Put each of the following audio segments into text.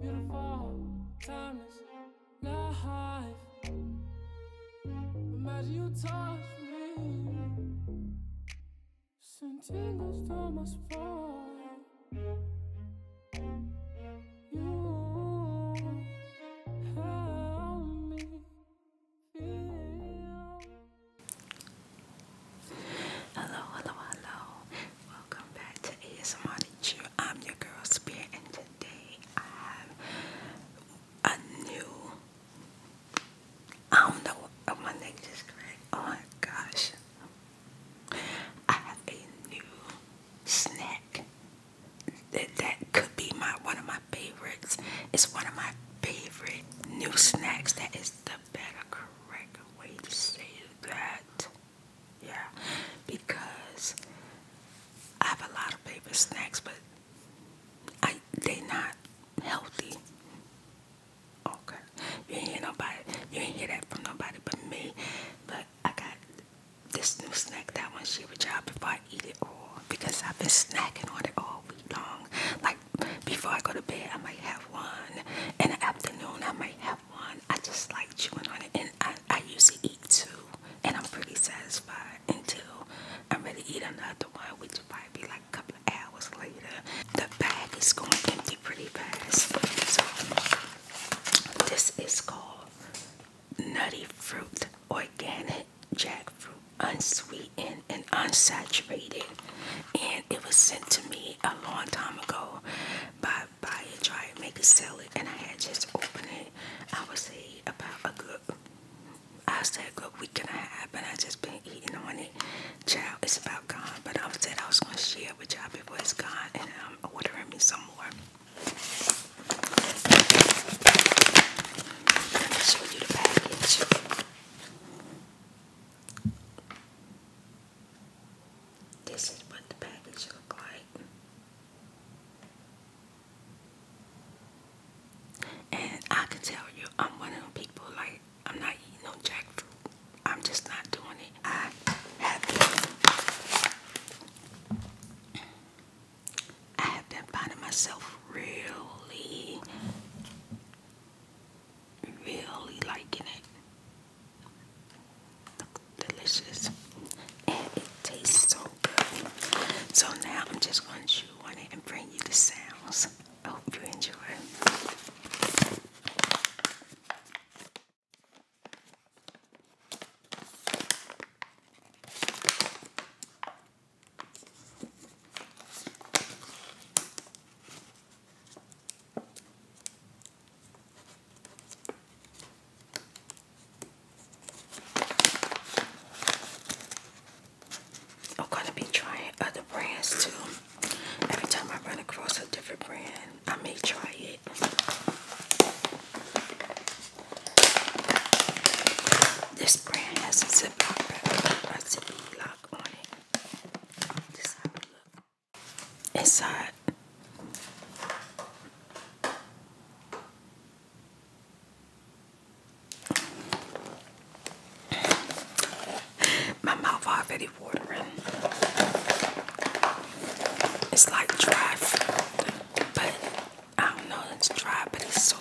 Beautiful, timeless life. Imagine you touch You help me feel. Hello, hello, hello. Welcome back to ASMR. I'm your girl Spirit, I have a new, I don't know, my neck just cracked, oh my gosh, I have a new snack that, that could be my one of my favorites, it's one of my favorite new snacks that is the better correct way to say that yeah, because I have a lot of favorite snacks, but I they not healthy. Okay, you ain't hear nobody. You ain't hear that from nobody but me. But I got this new snack that I want to share y'all before I eat it all because I've been snacking on it all week long. Like before I go to bed, I might have one. In the afternoon, I might have one. I just like chewing on it, and I, I usually eat two, and I'm pretty satisfied until I'm ready to eat another one, which might be like a couple of hours later. The bag is going empty pretty fast. So this is called Nutty Fruit Organic Jackfruit, unsweetened and unsaturated, and it was sent to me a long time ago by buy it, try it, maybe sell it, and I had just opened it. I was say about a good, I said a good week and a half, and I just been eating on it. Child, it's about gone, but I said I was gonna share with y'all before it's gone, and I'm ordering me some more. show you the package. This is what the package look like. And I can tell you, I'm one of them people like I'm not eating no jackfruit. I'm just not doing it. I have been, I have been finding myself really, really liking it delicious and it tastes so good. So now I'm just going to chew on it and bring you the sounds. I hope you enjoy. I'm gonna be trying other brands too. Every time I run across a different brand, I may try it. This brand has a ziplock, a ziplock on it. This is how it inside. My mouth already watering. It's like dry, food, but I don't know. It's dry, but it's so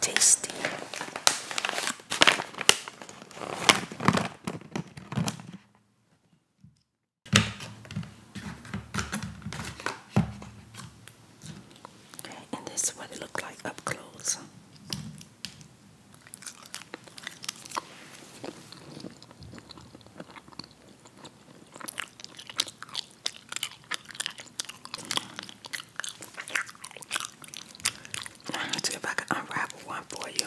tasty. And this is what it looked like up close. Let's see if I can unravel one for you.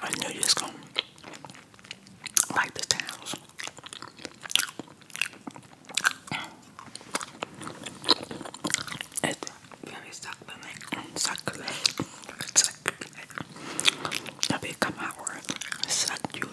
I knew you was gonna like the towels. It's very succulent, succulent, succulent. That become my word, succulent.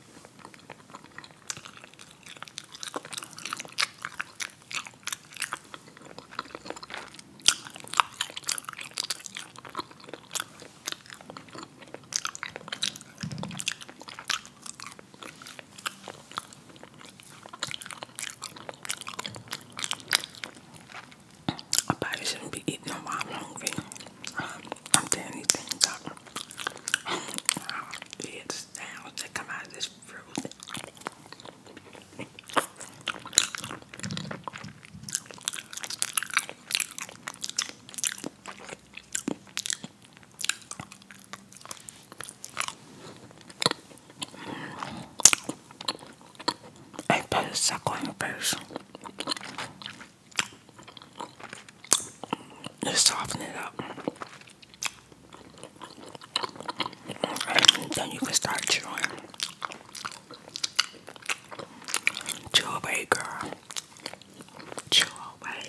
I probably shouldn't be eating them while I'm hungry. Um, I'm telling these things out. Weird sounds that come out of this fruit. I put a suckling person. Just soften it up. And then you can start chewing. Chew away, girl. Chew away.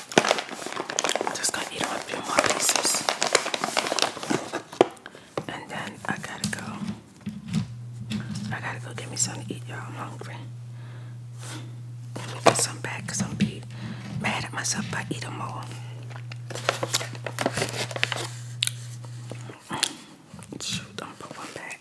Just gonna eat a few more pieces. And then I gotta go. I gotta go get me something to eat, y'all. I'm hungry. Let me get some back because I'm be mad at myself if I eat all. Shoot, I'm put one back.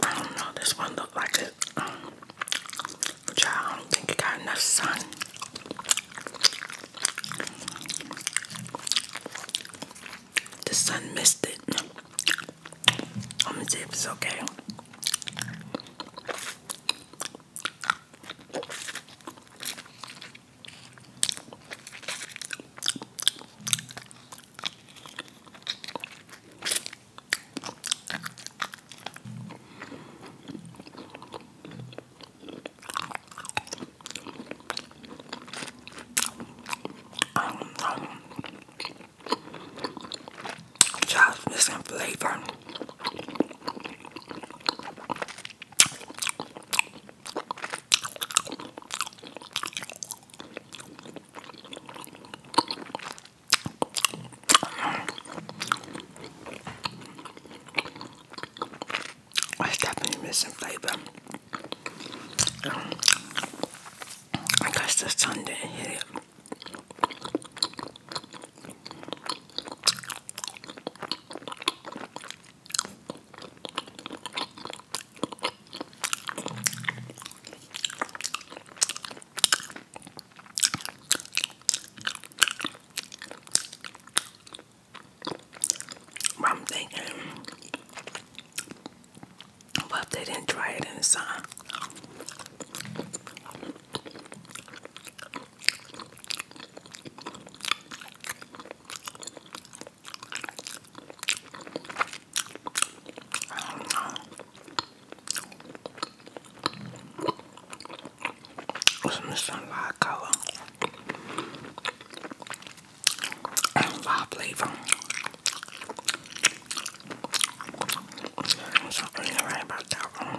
I don't know, this one looked like it but I don't think you got enough sun. The sun missed it. I'm gonna see if it's okay. Um, um, just missing flavor. I definitely missing flavor. I guess the Sunday here. I'm thinking, what if they didn't try it in the sun? some sunlight color and live flavor. Something ain't right about that one.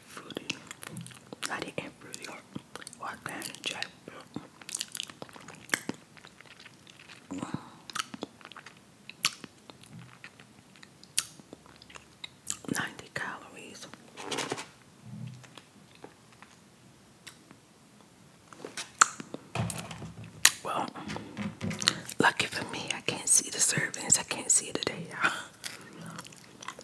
fruity, not an and fruity Ninety calories. Well, lucky for me, I can't see the servings. I can't see it today, y'all.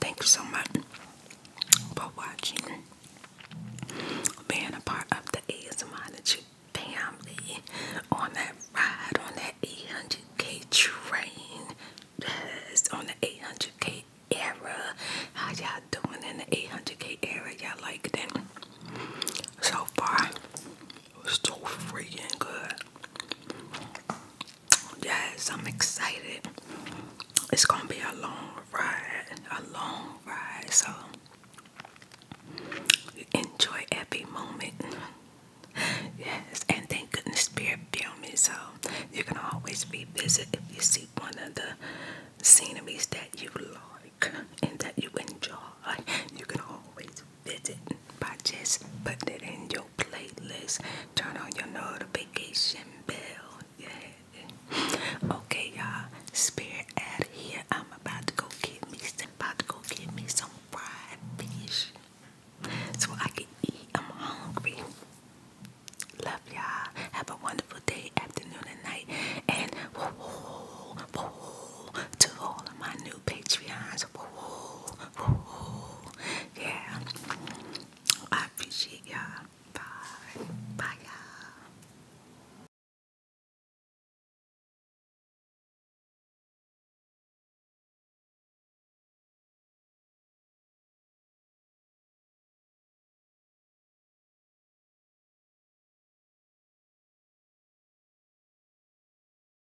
Thank you so much for watching, being a part of the ASMology family on that ride, on that 800k train, yes, on the 800k era. How y'all doing in the 800k era? Y'all like that? So far, it was so freaking good. Yes, I'm excited. It's gonna be a long ride, a long ride. So enjoy every moment. Yes, and thank goodness Spirit filmed me. So you are gonna always revisit if you see one of the sceneries that you like and that you enjoy. You can always visit by just putting it in your your playlist. Turn on your notification bell. Yeah. Okay, y'all. Spirit out here. I'm about to go get me some about to go get me some fried fish. So I can eat. I'm hungry. Love y'all. Have a wonderful day, afternoon, and night. And whoa, whoa, whoa, to all of my new Patreons. Yeah. I appreciate y'all. Bye. Bye, y'all.